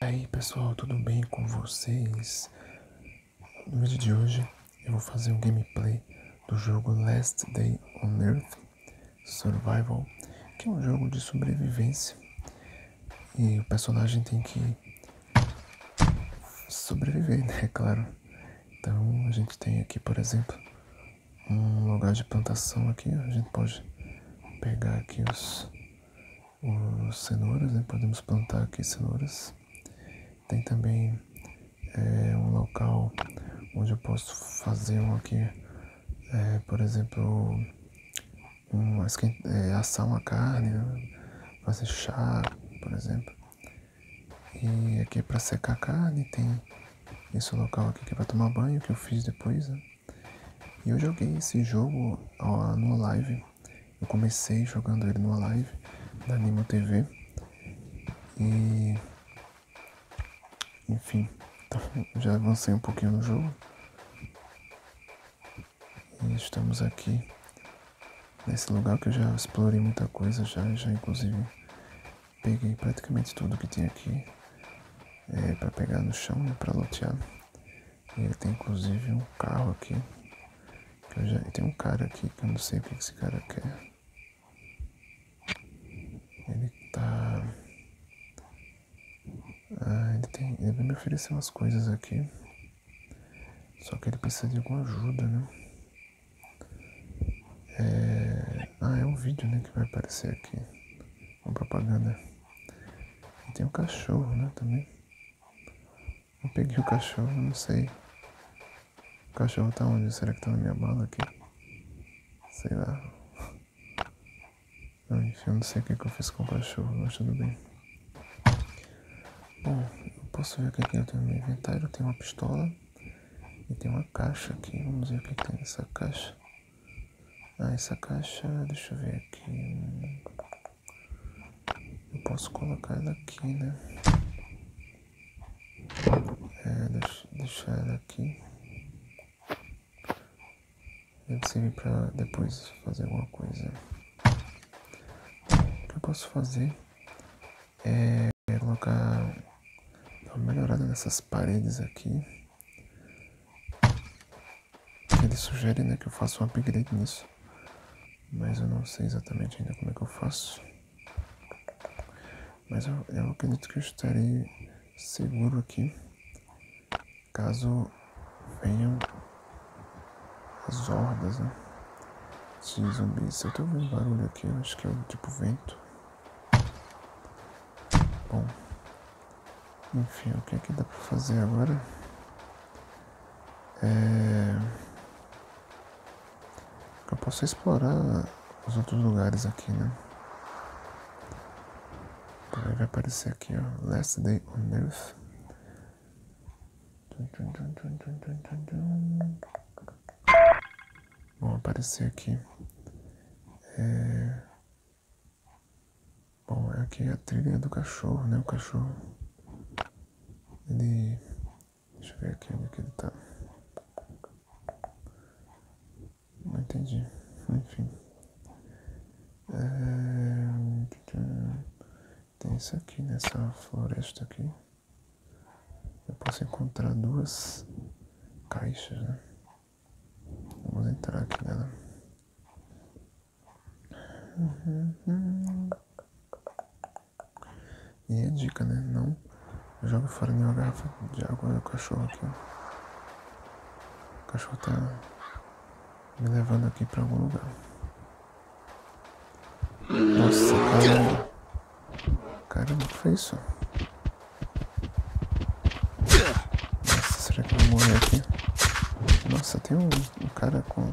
E aí pessoal, tudo bem com vocês? No vídeo de hoje eu vou fazer um gameplay do jogo Last Day on Earth Survival, que é um jogo de sobrevivência e o personagem tem que sobreviver, né? É claro. Então a gente tem aqui, por exemplo, um lugar de plantação aqui, a gente pode pegar aqui os os cenouras, né? podemos plantar aqui cenouras. Tem também é, um local onde eu posso fazer um aqui, eh, por exemplo, um, é, assar uma carne, né? fazer chá, por exemplo. E aqui é para secar a carne tem esse local aqui é para tomar banho que eu fiz depois. Né? E eu joguei esse jogo ó, numa live. Eu comecei jogando ele numa live da Animo TV. E. Enfim, já avancei um pouquinho no jogo. E estamos aqui nesse lugar que eu já explorei muita coisa, já, já inclusive peguei praticamente tudo que tinha aqui é, para pegar no chão, e para lotear. Ele tem inclusive um carro aqui. Que eu já... Tem um cara aqui que eu não sei o que esse cara quer. Ele tá. Ah, ele tem. Ele vai me oferecer umas coisas aqui. Só que ele precisa de alguma ajuda, né? É... Ah, é um vídeo né, que vai aparecer aqui. Uma propaganda. E tem um cachorro, né, também. Eu peguei o cachorro, não sei. O cachorro tá onde? Será que tá na minha bala aqui? Sei lá. enfim, eu não sei o é que, eu fiz com o cachorro, mas tudo bem. Bom, eu posso ver o que, é que eu tenho no meu inventário. Eu tenho uma pistola e tem uma caixa aqui. Vamos ver o que é tem nessa caixa. Ah, essa caixa, deixa eu ver aqui. Eu posso colocar ela aqui, né? É, deixar ela aqui. Deve servir para depois fazer alguma coisa. O que eu posso fazer é colocar uma melhorada nessas paredes aqui. Ele sugere né, que eu faça um upgrade nisso. Mas eu não sei exatamente ainda como é que eu faço. Mas eu, acredito que eu estarei seguro aqui. Caso venham as hordas né, de zumbis. Eu tô ouvindo barulho aqui, acho que é o tipo vento. Bom. Enfim, o que é que dá para fazer agora? É... Eu posso explorar os outros lugares aqui, né? Aí vai aparecer aqui, ó. Last Day on Earth. Vão aparecer aqui. É... Bom, é aqui a trilha do cachorro, né? O cachorro. Ele. Deixa eu ver aqui onde que ele tá. Não entendi. Enfim. É, tem isso aqui nessa né? floresta aqui. Eu posso encontrar duas caixas, né? Vamos entrar aqui nela. E a é dica, né? Não joga fora nenhuma garrafa de água do cachorro aqui. O cachorro tá me levando aqui pra algum lugar. Nossa, caramba. Caramba, o que foi isso? Nossa, será que eu vou morrer aqui? Nossa, tem um, cara com...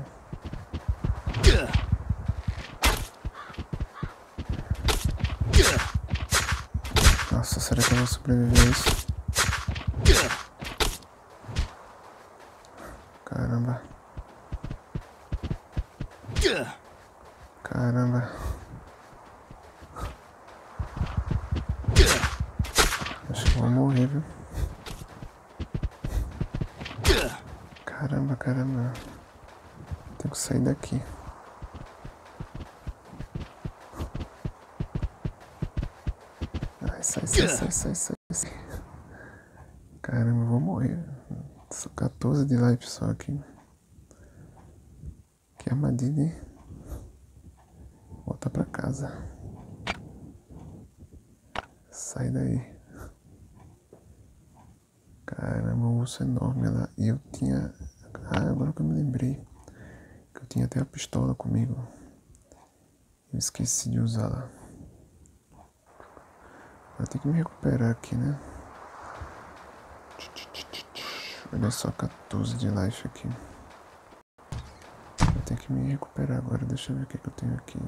Nossa, será que eu vou sobreviver a isso? Caramba. Caramba. Acho que eu vou morrer, viu? Caramba, caramba. Tenho que sair daqui. sai, sai, sai, sai, sai, Caramba, eu vou morrer. Só 14 de life só aqui. Que armadilha, hein? Volta pra casa. Sai daí. Cara, é um urso enorme lá. E eu tinha. Ah, agora que eu me lembrei. Que eu tinha até a pistola comigo. esqueci de usá-la. Vai ter que me recuperar aqui, né? Olha só, 14 de life aqui. Eu tenho que me recuperar agora. Deixa eu ver o que, eu tenho aqui.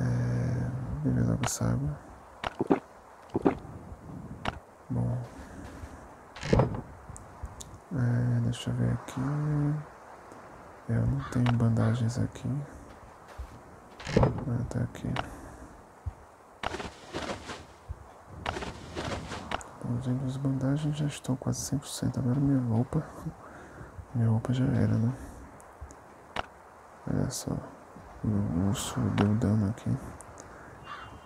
É... Beber logo água. Bom. É, deixa eu ver aqui. Eu não tenho bandagens aqui. Ah, tá aqui. Usando as bandagens já estão quase 100%. Agora minha roupa. Minha roupa já era, né? Olha só. O urso deu dano aqui.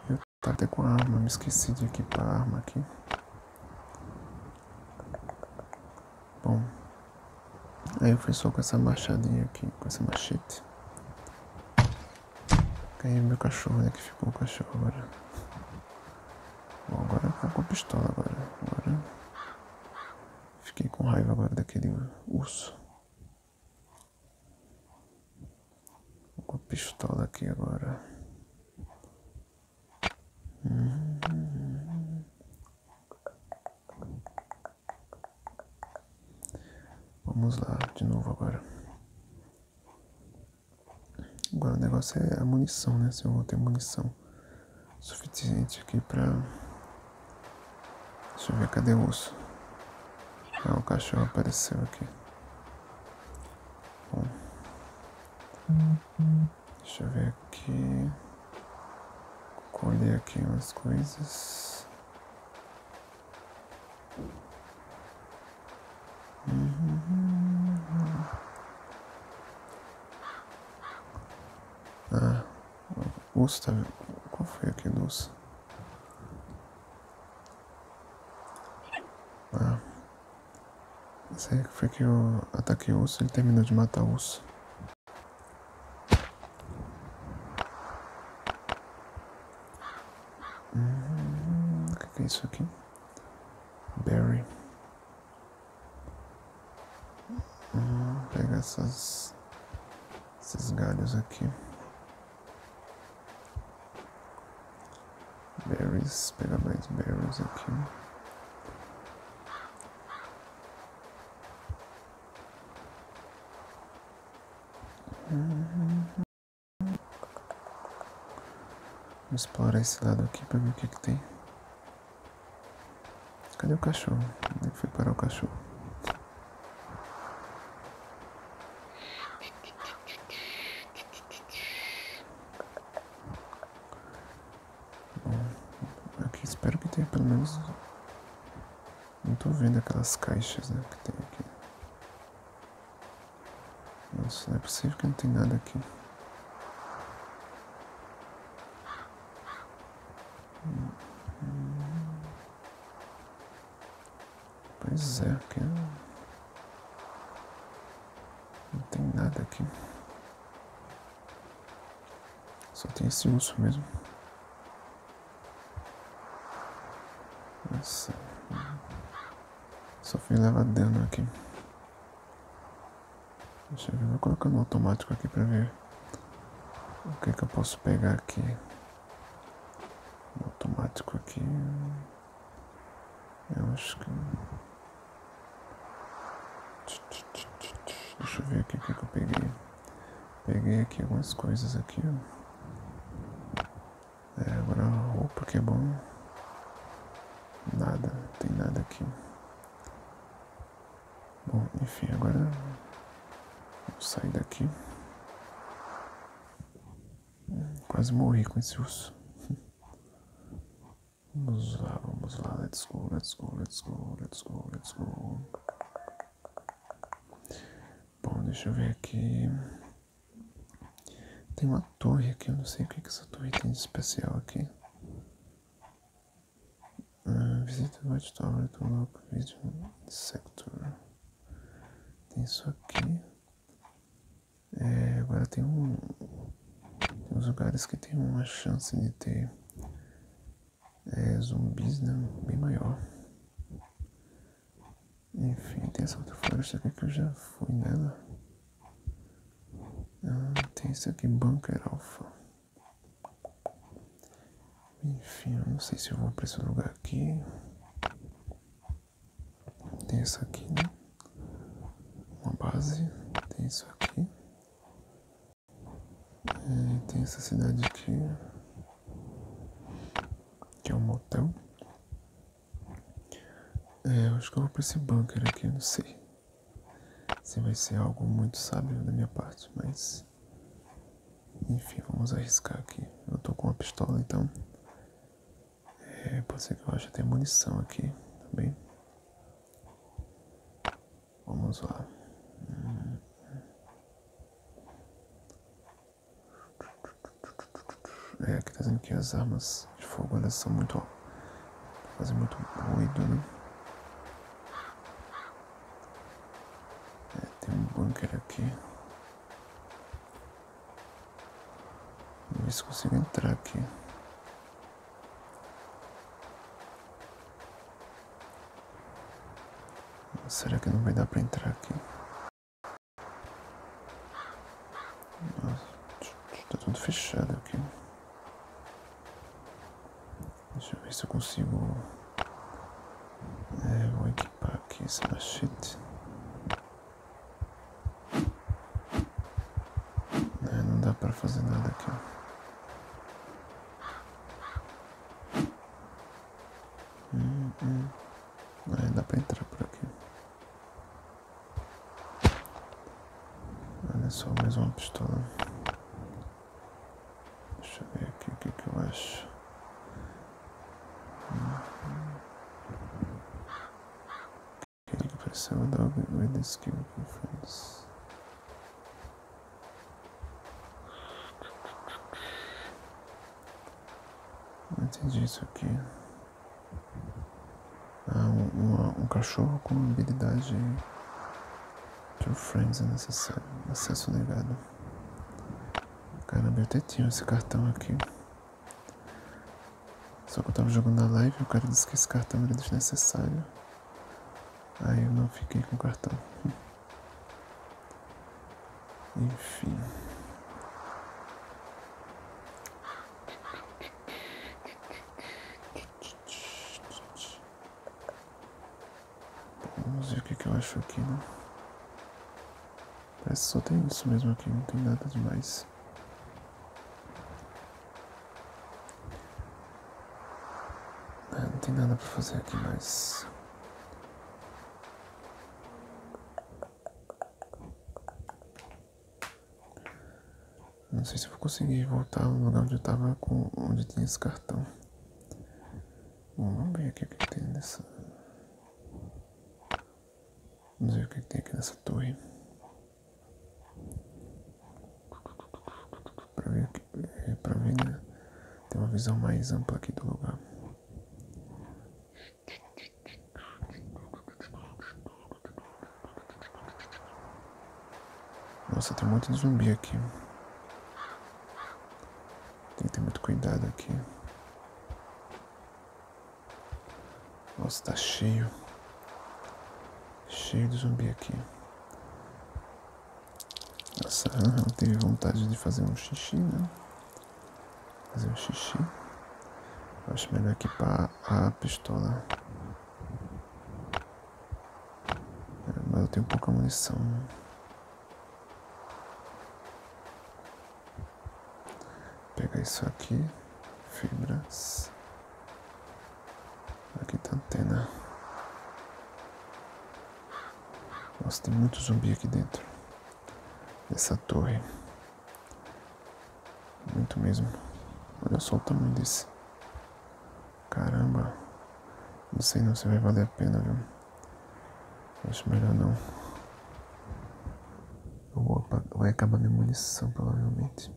Eu tava até com a arma, me esqueci de equipar a arma aqui. Bom. Aí eu fui só com essa machadinha aqui, com essa machete. Caiu meu cachorro, né? Que ficou o cachorro agora. Bom, agora tá com a pistola agora. Fiquei com raiva agora daquele urso. Vou com a pistola aqui agora. Vamos lá, de novo agora. Agora o negócio é a munição, né? Se eu vou ter munição suficiente aqui pra. Deixa eu ver, cadê o osso Ah, o cachorro apareceu aqui. Bom. Deixa eu ver aqui. Colher aqui umas coisas. Ah, é. Usta, tá qual foi aqui, Luz? Ah, isso aí foi que eu ataquei o ele terminou de matar o urso. Hum, o que é isso aqui? Berry, hum, pega essas, esses galhos aqui. Berries, pega mais berries aqui. Hum, hum, Vamos explorar esse lado aqui para ver o que tem. Cadê o cachorro? Onde foi parar o cachorro? Bom, aqui espero que tenha pelo menos... Não estou vendo aquelas caixas né, que tem aqui. Nossa, não é possível que não tem nada aqui. Pois é, que não tem nada aqui. Só tem esse urso mesmo. Nossa. Só fui levar dano aqui. Deixa eu ver, vou colocar no automático aqui para ver o que eu posso pegar aqui. No automático aqui. Eu acho que. Deixa eu ver aqui o que que eu peguei. Peguei aqui algumas coisas aqui, é, agora roupa que é bom Nada, tem nada aqui. Bom, enfim, agora vou sair daqui. Quase morri com esse uso Vamos lá, vamos lá, let's go, let's go, let's go, let's go, let's go. Bom, deixa eu ver aqui. Tem uma torre aqui, eu não sei o que, essa torre tem de especial aqui. Uh, visita White Tower do Local Vision Sector. Tem isso aqui. É, agora tem um. Tem uns lugares que tem uma chance de ter é, zumbis né, bem maior. Enfim, tem essa outra floresta aqui é que eu já fui nela. Ah, tem isso aqui, Bunker Alpha. Enfim, eu não sei se eu vou pra esse lugar aqui. Tem isso aqui, né? Uma base. Tem isso aqui. É, tem essa cidade aqui. Que é um motel. É, eu acho que eu vou para esse bunker aqui, não sei se vai ser algo muito sábio da minha parte, mas. Enfim, vamos arriscar aqui. Eu estou com uma pistola, então. É, pode ser que eu ache até munição aqui, tá bem? Vamos lá. Hum. É, aqui tá dizendo que as armas de fogo elas são muito. fazem muito ruído, né? É, tem um bunker aqui. Vamos ver se consigo entrar aqui. Será que não vai dar pra entrar aqui? Nossa, está tudo fechado aqui. Deixa eu ver se eu consigo. É, vou equipar aqui esse machete. É, não dá pra fazer nada aqui. Hum, hum. É, dá pra entrar por aqui. Olha só, mais uma pistola. Deixa eu ver aqui o que, é que eu acho. Aquele é que precisava da Wed Skill Conference. Não entendi isso aqui. Ah, um, um, cachorro com habilidade True Friends é necessário. Acesso negado. Caramba, eu até tinha esse cartão aqui. Só que eu tava jogando na live e o cara disse que esse cartão era desnecessário. Aí eu não fiquei com o cartão. Enfim. Vamos ver o que, que eu acho aqui, né? Parece que só tem isso mesmo aqui, não tem nada demais. É, não tem nada para fazer aqui mais. Não sei se eu vou conseguir voltar ao lugar onde eu estava com. onde tinha esse cartão. vamos ver aqui o é que tem nessa. Vamos ver o que é tem aqui nessa torre. Para ver aqui. É, ver, né? Ter uma visão mais ampla aqui do lugar. Nossa, tem um monte de zumbi aqui. Tem que ter muito cuidado aqui. Nossa, tá cheio. Cheio de zumbi aqui. Nossa, eu teve vontade de fazer um xixi, né? Fazer um xixi. Acho melhor equipar a pistola. É, mas eu tenho pouca munição. Pegar isso aqui. Fibras. Aqui tá antena. Nossa, tem muito zumbi aqui dentro. Dessa torre. Muito mesmo. Olha só o tamanho desse. Caramba. Não sei não se vai valer a pena, viu? Acho melhor não. vou, vai acabar minha munição, provavelmente.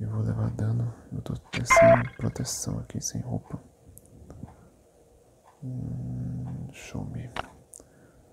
Eu vou levar dano. Eu tô sem proteção aqui, sem roupa. Hum, show me.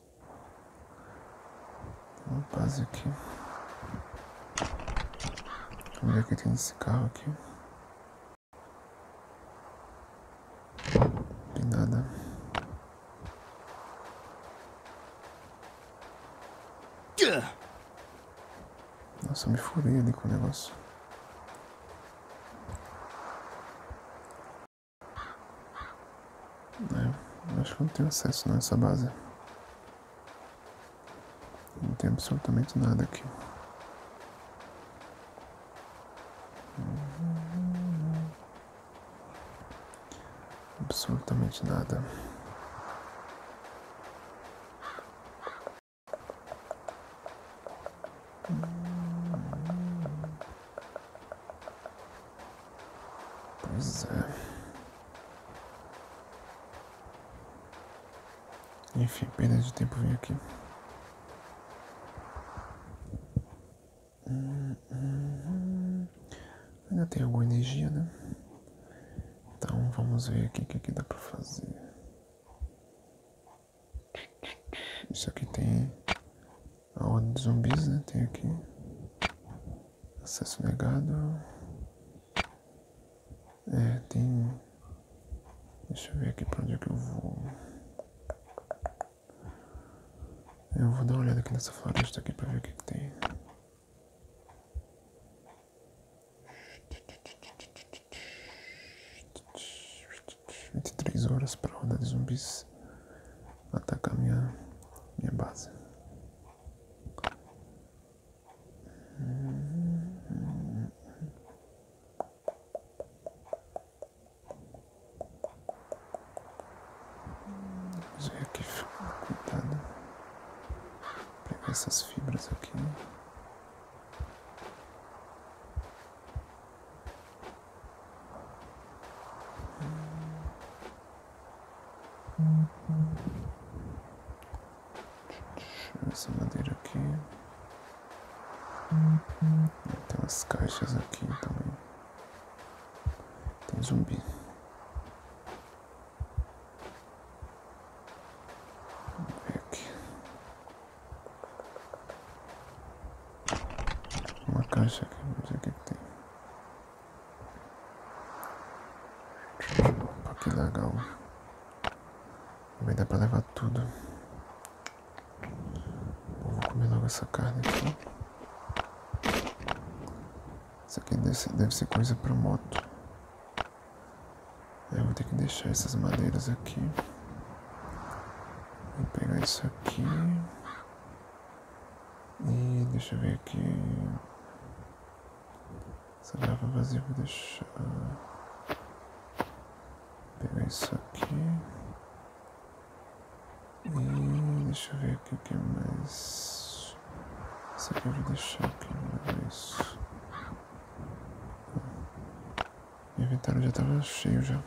isso. Uma paz aqui. Vamos ver o que tem nesse carro aqui. Não tem nada. Nossa, eu me furei ali com o negócio. É, acho que eu não tenho acesso nessa base. Não tem absolutamente nada aqui. Absolutamente nada. Pois é. Enfim, perda de tempo vem aqui. ainda tem alguma energia, né? Então vamos ver aqui o que, dá pra fazer. Isso aqui tem a onda de zumbis, né? Tem aqui. Acesso negado. É, tem. Deixa eu ver aqui pra onde é que eu vou. Eu vou dar uma olhada aqui nessa floresta aqui pra ver o que, tem. Vinte e três horas pra rodar de zumbis atacar minha, minha base. Já aqui ficou cuidado. Pegar essas fibras aqui. Né? Essa madeira aqui. Tem umas caixas aqui também. Tem zumbi. Uma caixa aqui, vamos ver o que tem. Que legal. Também dá pra levar tudo. vou comer logo essa carne aqui. Isso aqui deve ser, coisa pra moto. É, vou ter que deixar essas madeiras aqui. Vou pegar isso aqui. E deixa eu ver aqui. Essa garrafa vazia vou deixar. Pegar isso aqui. E deixa eu ver aqui o que mais. Isso aqui eu vou deixar aqui, não isso. Meu inventário já estava cheio já.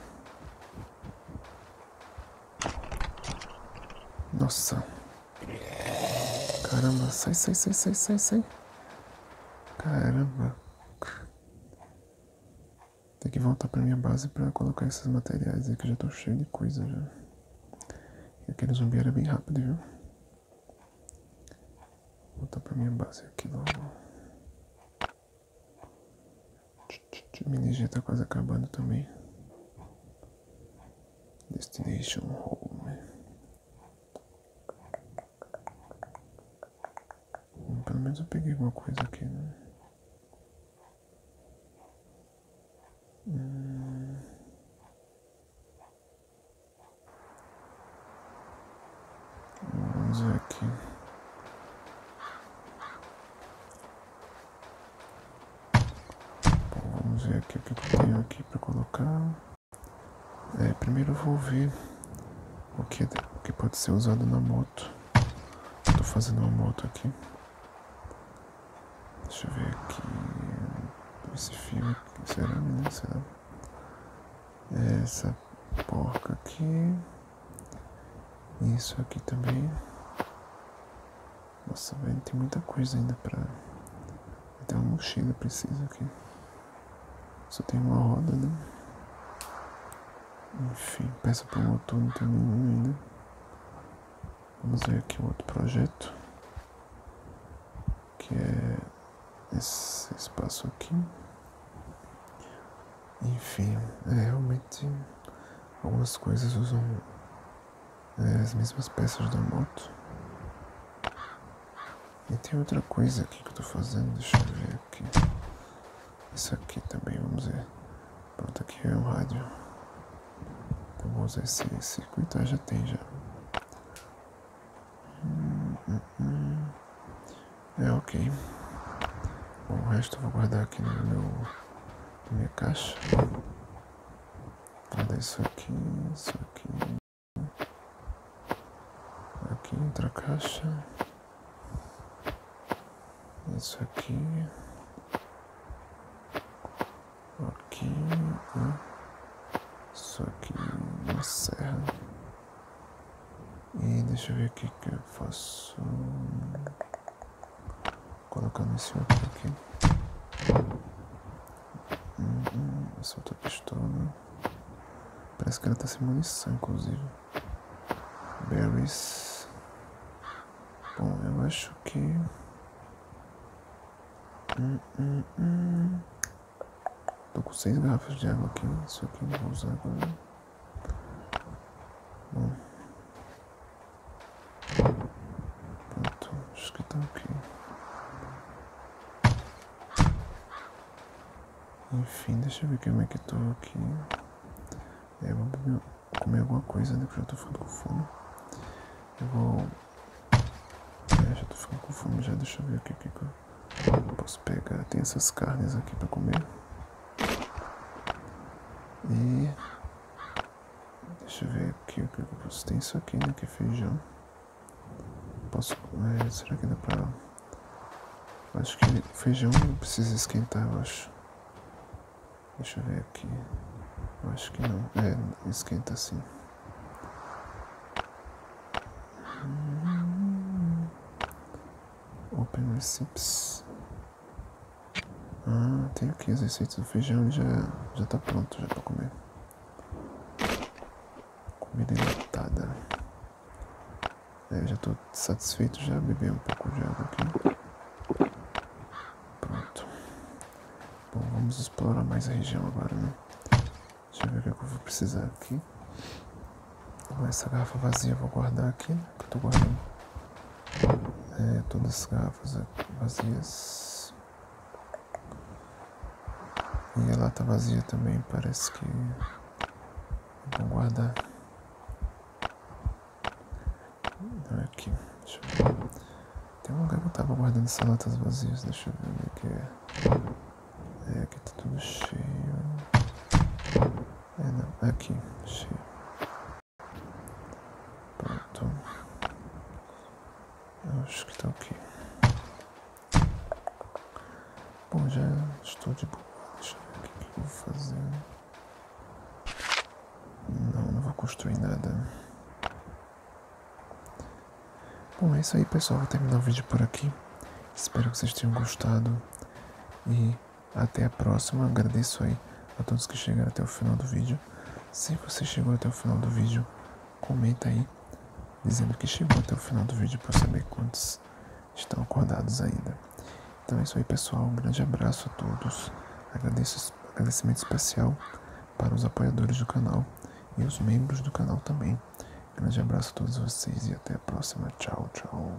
Nossa. Caramba, sai, sai, sai, sai, sai, sai. Caramba. Tem que voltar pra minha base pra colocar esses materiais aqui. já tô cheio de coisa já. E aquele zumbi era bem rápido, viu? Vou voltar pra minha base aqui logo. Que minha energia está quase acabando também. Destination Home. Hum, pelo menos eu peguei alguma coisa aqui, né? Hum. Vamos ver aqui vamos ver aqui o que eu aqui para colocar. É, primeiro eu vou ver o que, que pode ser usado na moto. Estou fazendo uma moto aqui. Deixa eu ver aqui. Esse filme. Será, Será? Essa porca aqui. Isso aqui também. Nossa, velho, tem muita coisa ainda pra. Até uma mochila precisa aqui. Só tem uma roda, né? Enfim, peça para motor não tem nenhum ainda. Vamos ver aqui o outro projeto. Que é esse espaço aqui. Enfim, é realmente algumas coisas usam é, as mesmas peças da moto. E tem outra coisa aqui que eu tô fazendo, deixa eu ver aqui. Isso aqui também, vamos ver. Pronto, aqui é o rádio. Então vou usar esse circuito, ah, já tem já. É ok. o resto eu vou guardar aqui no meu na minha caixa. Cadê isso aqui? Isso aqui. Aqui entra caixa. Isso aqui. Aqui. Né? Isso aqui. Uma serra. E deixa eu ver o que eu faço colocando esse outro aqui. Hum, essa outra pistola. Parece que ela tá sem munição, inclusive. Berries. Bom, eu acho que. Hum, Tô com seis garrafas de água aqui. Isso aqui eu não vou usar agora. Pronto, acho que está aqui. Enfim, deixa eu ver como é que eu tô aqui. É, eu vou comer alguma coisa, né? Porque eu tô ficando com fome. Eu vou. É, já tô ficando com fome já, deixa eu ver o que que eu posso pegar. Tem essas carnes aqui pra comer. E Deixa eu ver aqui o que eu posso. Tem isso aqui, né? Que é feijão. Posso. É, será que dá pra. Acho que feijão precisa esquentar, eu acho. Deixa eu ver aqui. Eu acho que não. É, esquenta sim. Hum. Open Receipts. Ah, tenho aqui as receitas do feijão e já, já tá pronto já pra comer. Comida enlatada. eu é, já estou satisfeito, já bebi um pouco de água aqui. Pronto. Bom, vamos explorar mais a região agora, né? Deixa eu ver o que é eu vou precisar aqui. Essa garrafa vazia eu vou guardar aqui, né? Que eu tô guardando é, todas as garrafas vazias. E a lata vazia também, parece que vão então guardar. É aqui, deixa eu ver. Tem um lugar que eu tava guardando essas latas vazias, deixa eu ver onde que é. É, aqui tá tudo cheio. É, não, é aqui, cheio. Pronto. Acho que está ok. Bom, já estou de boa. Deixa eu ver o que, eu vou fazer. Não, não vou construir nada. Bom, é isso aí, pessoal. Vou terminar o vídeo por aqui. Espero que vocês tenham gostado. E até a próxima. Agradeço aí a todos que chegaram até o final do vídeo. Se você chegou até o final do vídeo, comenta aí dizendo que chegou até o final do vídeo para saber quantos estão acordados ainda. Então é isso aí, pessoal. Um grande abraço a todos. agradecimento especial para os apoiadores do canal e os membros do canal também. Grande abraço a todos vocês e até a próxima. Tchau, tchau.